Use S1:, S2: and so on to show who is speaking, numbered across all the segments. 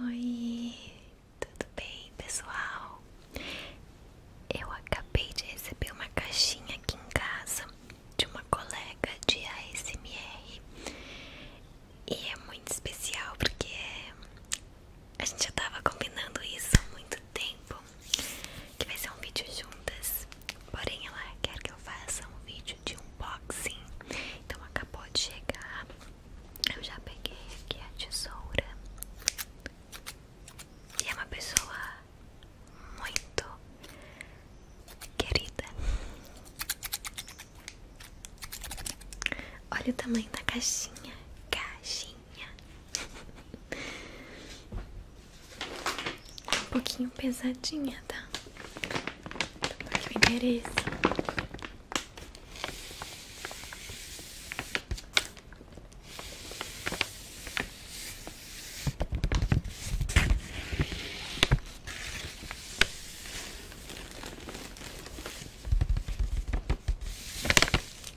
S1: Oi, tudo bem pessoal? Eu acabei de receber uma caixinha aqui em casa de uma colega de ASMR e é muito especial porque a gente já estava combinando isso há muito tempo que vai ser um vídeo juntas, porém ela quer que eu faça um vídeo vídeo de unboxing. Então acabou de chegar. Eu já peguei aqui a tesoura. E é uma pessoa muito querida. Olha o tamanho da caixinha. Caixinha. Um pouquinho pesadinha, tá? Aqui o endereço.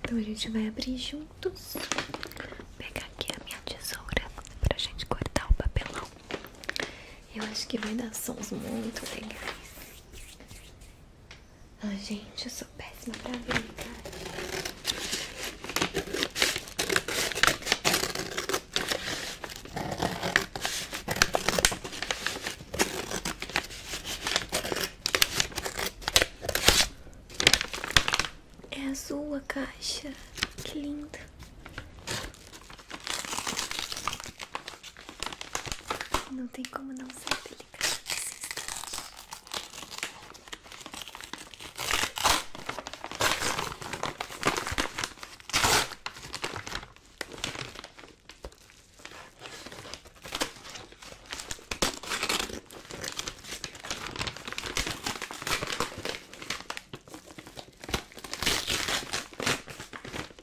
S1: Então a gente vai abrir juntos. pegar aqui a minha tesoura pra gente cortar o papelão. Eu acho que vai dar sons muito legais. Ah, gente, eu sou péssima pra ver, cara. É azul a caixa, que linda. Não tem como não ser delicado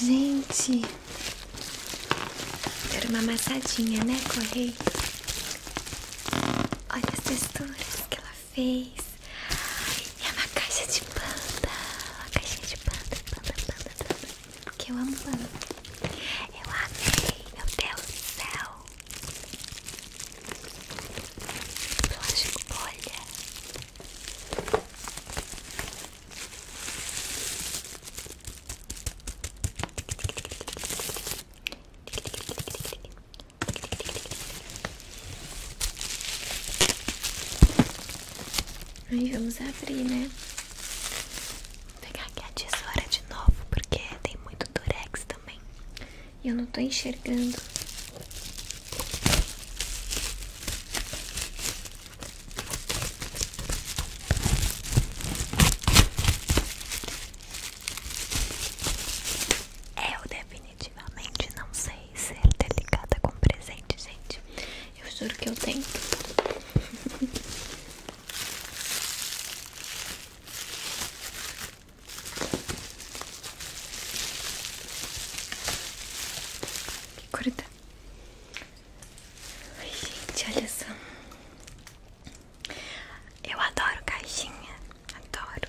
S1: Gente, era uma amassadinha, né, Correio? Olha as texturas que ela fez. É uma caixa de panda, uma caixinha de panda, panda, panda, panda, que eu amo panda. Eu amei, meu Deus do céu. Plástico olha. Aí vamos abrir, né? Vou pegar aqui a tesoura de novo, porque tem muito durex também. E eu não tô enxergando eu definitivamente não sei ser delicada com presente, gente. Eu juro que eu tenho que curta. gente, olha só. Eu adoro caixinha. Adoro.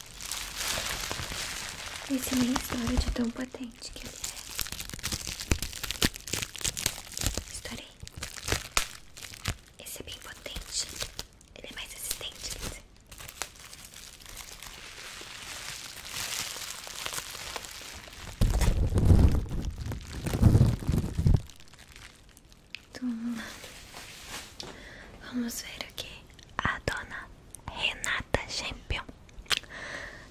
S1: Esse nem estoura de tão potente que ele é. Estourei. Esse é bem potente. Ele é mais resistente, quer Vamos ver o que a dona Renata Champion.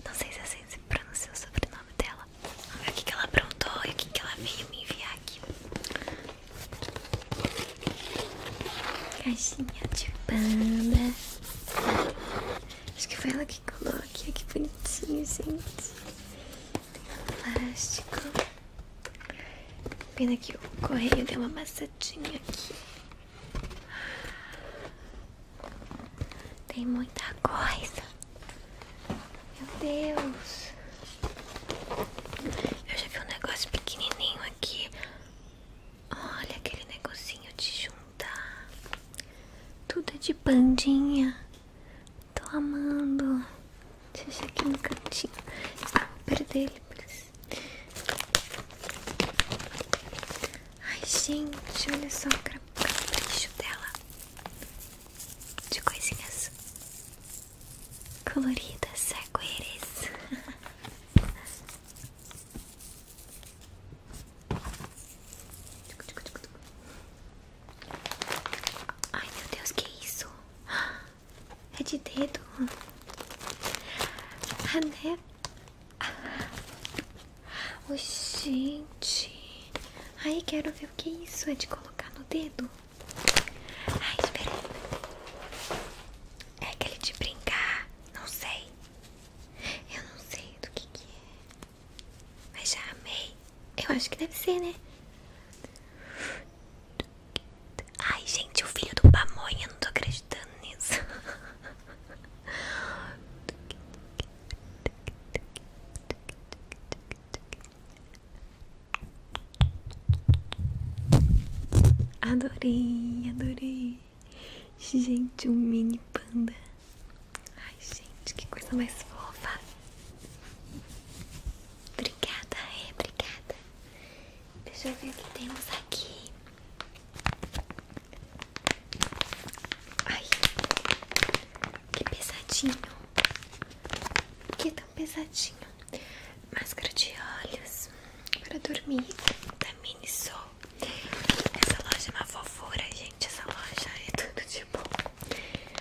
S1: Não sei se é assim se pronuncia o sobrenome dela. Vamos ver o que, que ela aprontou e o que, que ela veio me enviar aqui. Caixinha de panda. Acho que foi ela que colou aqui. Que bonitinho, gente. Plástico. Pena que o correio deu uma amassadinha aqui. Tem muita coisa. Meu Deus. Eu já vi um negócio pequenininho aqui. Olha aquele negocinho de juntar. Tudo é de pandinha. Tô amando. Deixa aqui no cantinho. Ah, vou perder ele. Ai, gente, olha só o capricho dela de coisinhas coloridas, arco-íris. Ai, meu Deus, que isso? É de dedo. Ah, né? Oh, gente. Aí quero ver o que é isso é de colocar no dedo. Ai, espera aí. É aquele de brincar. Não sei. Eu não sei do que que é. Mas já amei. Eu acho que deve ser, né? Ai, gente, o filho do Pamonha, não tô acreditando nisso. Adorei, adorei. Gente, um mini panda. Ai, gente, que coisa mais fofa. Obrigada, é, obrigada. Deixa eu ver o que temos aqui. Ai, que pesadinho. Que é tão pesadinho. Máscara de olhos para dormir da mini Miniso. Essa loja é uma fofura, gente. Essa loja é tudo de bom.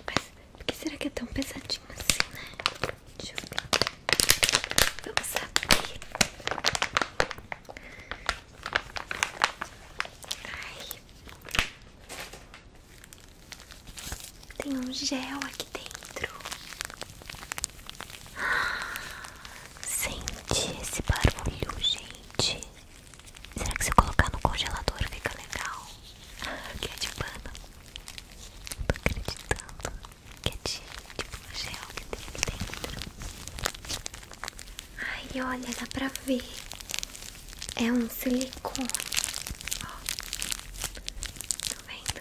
S1: Mas por que será que é tão pesadinho assim, né? Deixa eu ver. Vamos abrir. Ai. Tem um gel aqui dentro. Sente esse barulho, gente. Será que se eu colocar no congelador fica legal? Que é de pano. Não tô acreditando que é de, tipo um gel que tem aqui dentro. Ai, olha, dá pra ver. É um silicone. Ó, tá vendo?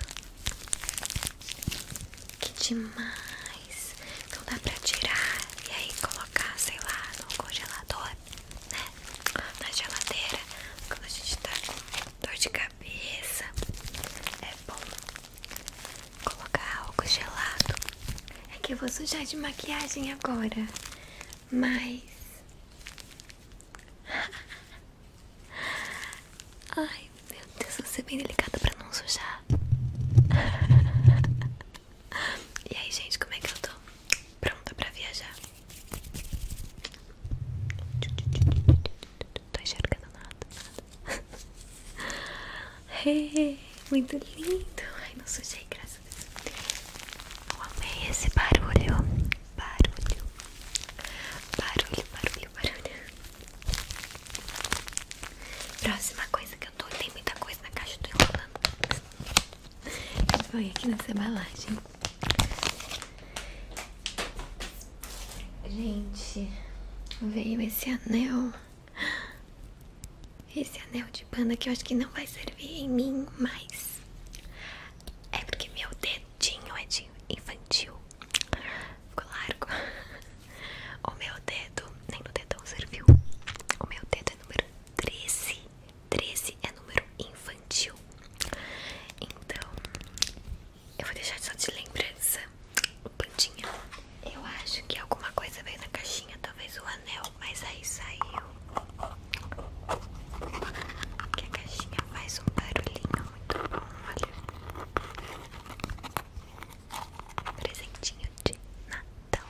S1: Que demais. Então dá pra tirar e aí colocar, sei lá, no congelador, né? Na geladeira. Quando a gente tá com dor de cabeça, é bom colocar álcool gelado. É que eu vou sujar de maquiagem agora, mas. Ai, meu Deus, vou ser é bem delicada pra não sujar. E aí, gente, como é que eu tô? Pronta pra viajar? Tô enxergando nada, nada. muito lindo. Ai, não sujei, graças a Deus. Eu amei esse barulho. Barulho. Barulho, barulho, barulho. Próxima coisa que eu tô. Tem muita coisa na caixa, eu tô enrolando. Foi aqui nessa embalagem. Gente, veio esse anel. Esse anel de banda que eu acho que não vai servir em mim mais. É porque meu dedinho é de infantil. Ficou largo. O meu dedo, nem no dedão serviu. O meu dedo é número 13. 13 é número infantil. Então, eu vou deixar só de lembrança Plantinha. Eu acho que alguma coisa veio na caixinha, talvez o anel, mas aí saiu. Que a caixinha faz um barulhinho muito bom, olha. Presentinho de Natal.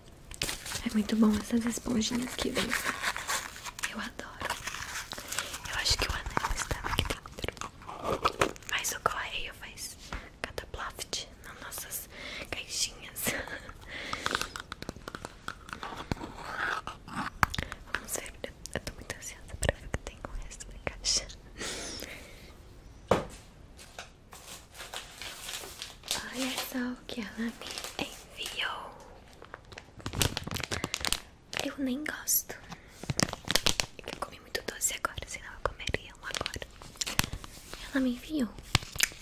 S1: É muito bom essas esponjinhas que vem. Eu adoro. Eu acho que o anel estava aqui dentro. Mas o correio faz cataplaft nas nossas caixinhas. Vamos ver. Eu tô muito ansiosa pra ver o que tem com essa resto caixa. Olha só o que ela me enviou. Eu nem gosto. Eu comi muito doce agora, senão eu comeria um agora. Ela me enviou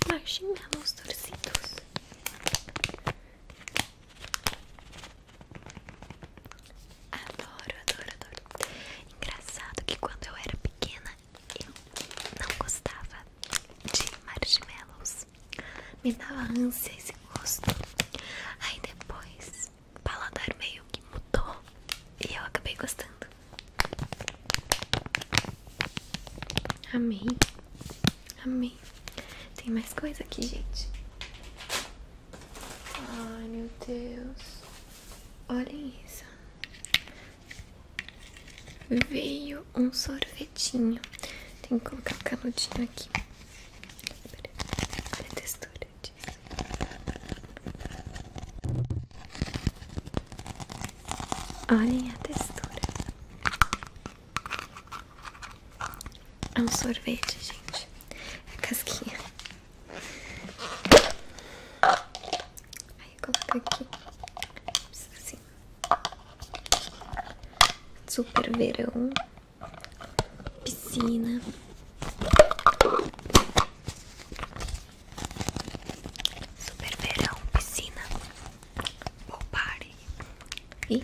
S1: marshmallows torcidos. Adoro, adoro, adoro. Engraçado que quando eu era pequena eu não gostava de marshmallows. Me dava ânsia esse gosto. Aí depois, o paladar meio que mudou e eu acabei gostando. Amei, amei. Tem mais coisa aqui, gente. Ai meu Deus, olhem isso veio um sorvetinho. Tem que colocar o canudinho aqui. Olha a textura disso. Olhem a textura. É um sorvete, gente. É casquinha. Aí eu coloco aqui. Assim. Super verão, piscina. Super verão, piscina, pool E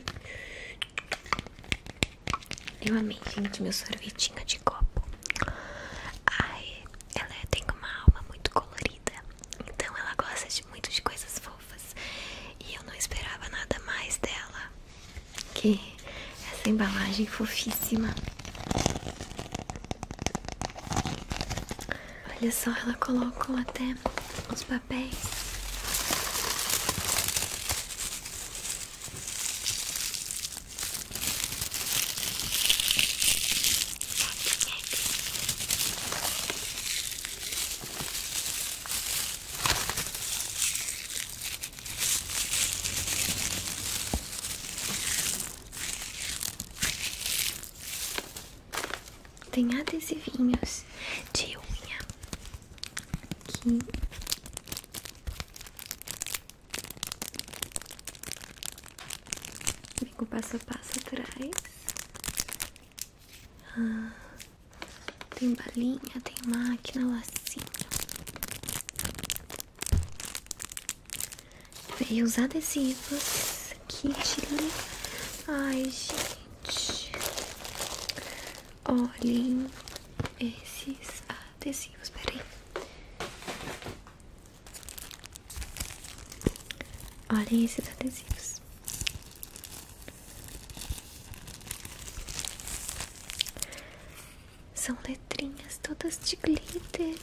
S1: eu amei, gente, meu sorvetinho de copo. Ai, ela tem uma alma muito colorida, então ela gosta de muito de coisas e eu não esperava nada mais dela que essa embalagem fofíssima. Olha só, ela colocou até os papéis. Tem adesivinhos de unha aqui. Vem com passo a passo atrás. Ah, tem balinha, tem máquina, lacinho. Veio os adesivos. Kit. Né? Ai, gente. Olhem esses adesivos. Peraí. Olhem esses adesivos. São letrinhas todas de glitter.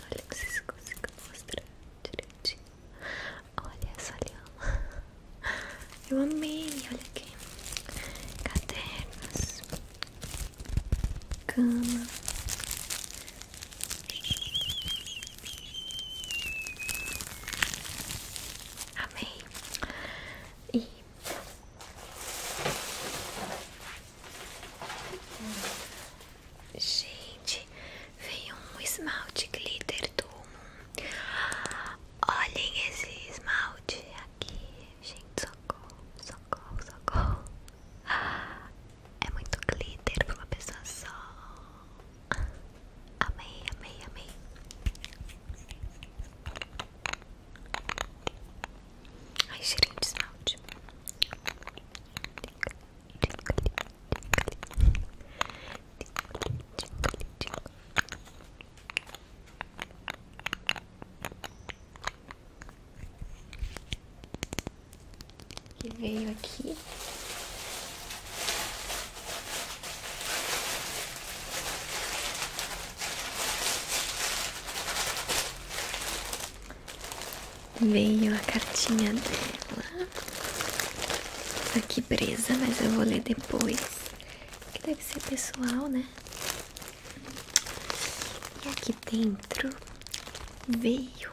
S1: Olha, não sei se consigo mostrar direitinho. Olha essa lhama. Eu amei, olha aqui. Cadernos. Cama. Amei. E gente, veio um esmalte glitter do Olhem esse esmalte aqui, gente. Socorro, socorro, socorro. É muito glitter pra uma pessoa só. Amei, amei, amei. Ai, cheirinho de que veio aqui. Veio a cartinha dela tá aqui presa, mas eu vou ler depois. Que deve ser pessoal, né? E aqui dentro veio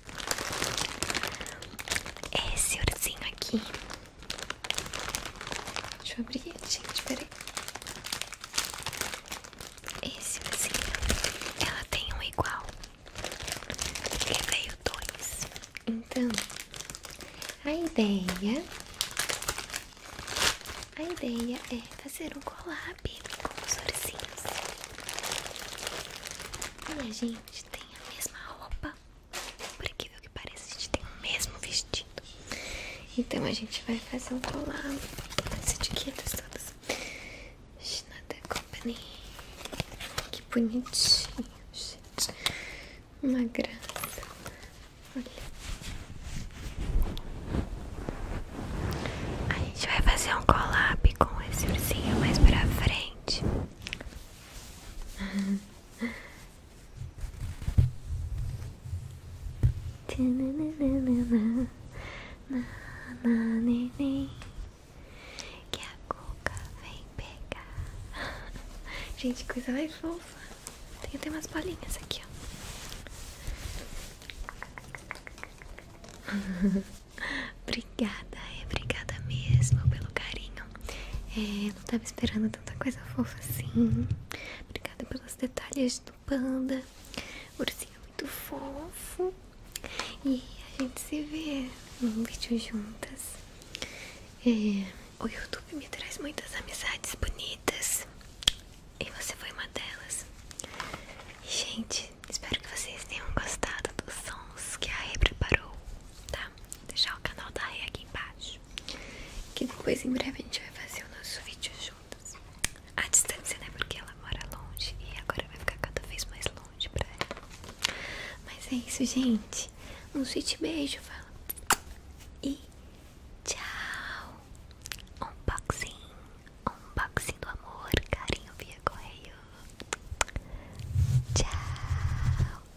S1: É esse urzinho aqui. Deixa eu abrir, gente, peraí. Esse urzinho, ela tem um igual. ele veio dois. Então, a ideia. A ideia é fazer um collab com os urzinhos. E a gente tem a mesma roupa. Por incrível que parece a gente tem o mesmo vestido. Então a gente vai fazer um colado as etiquetas todas. Schneider é Company. Que bonitinho, gente. Uma graça. Olha. A gente vai fazer um collab com esse ursinho mais pra frente. Que a cuca vem pegar. Gente, coisa mais fofa. Tem até umas bolinhas aqui, ó. Obrigada, é, obrigada mesmo pelo carinho. É, não tava esperando tanta coisa fofa assim. Obrigada pelos detalhes do panda. O ursinho é muito fofo. E a gente se vê num vídeo juntas. É, o YouTube me traz muitas amizades bonitas. E você foi uma delas. Gente, espero que vocês tenham gostado dos sons que a Rê preparou, tá? Vou deixar o canal da Rei aqui embaixo. Que depois em breve a gente vai fazer o nosso vídeo juntos. A distância, né? Porque ela mora longe e agora vai ficar cada vez mais longe pra ela. Mas é isso, gente. Um sweet beijo, fala. E tchau. Unboxing. Unboxing do amor. Carinho via correio. Tchau.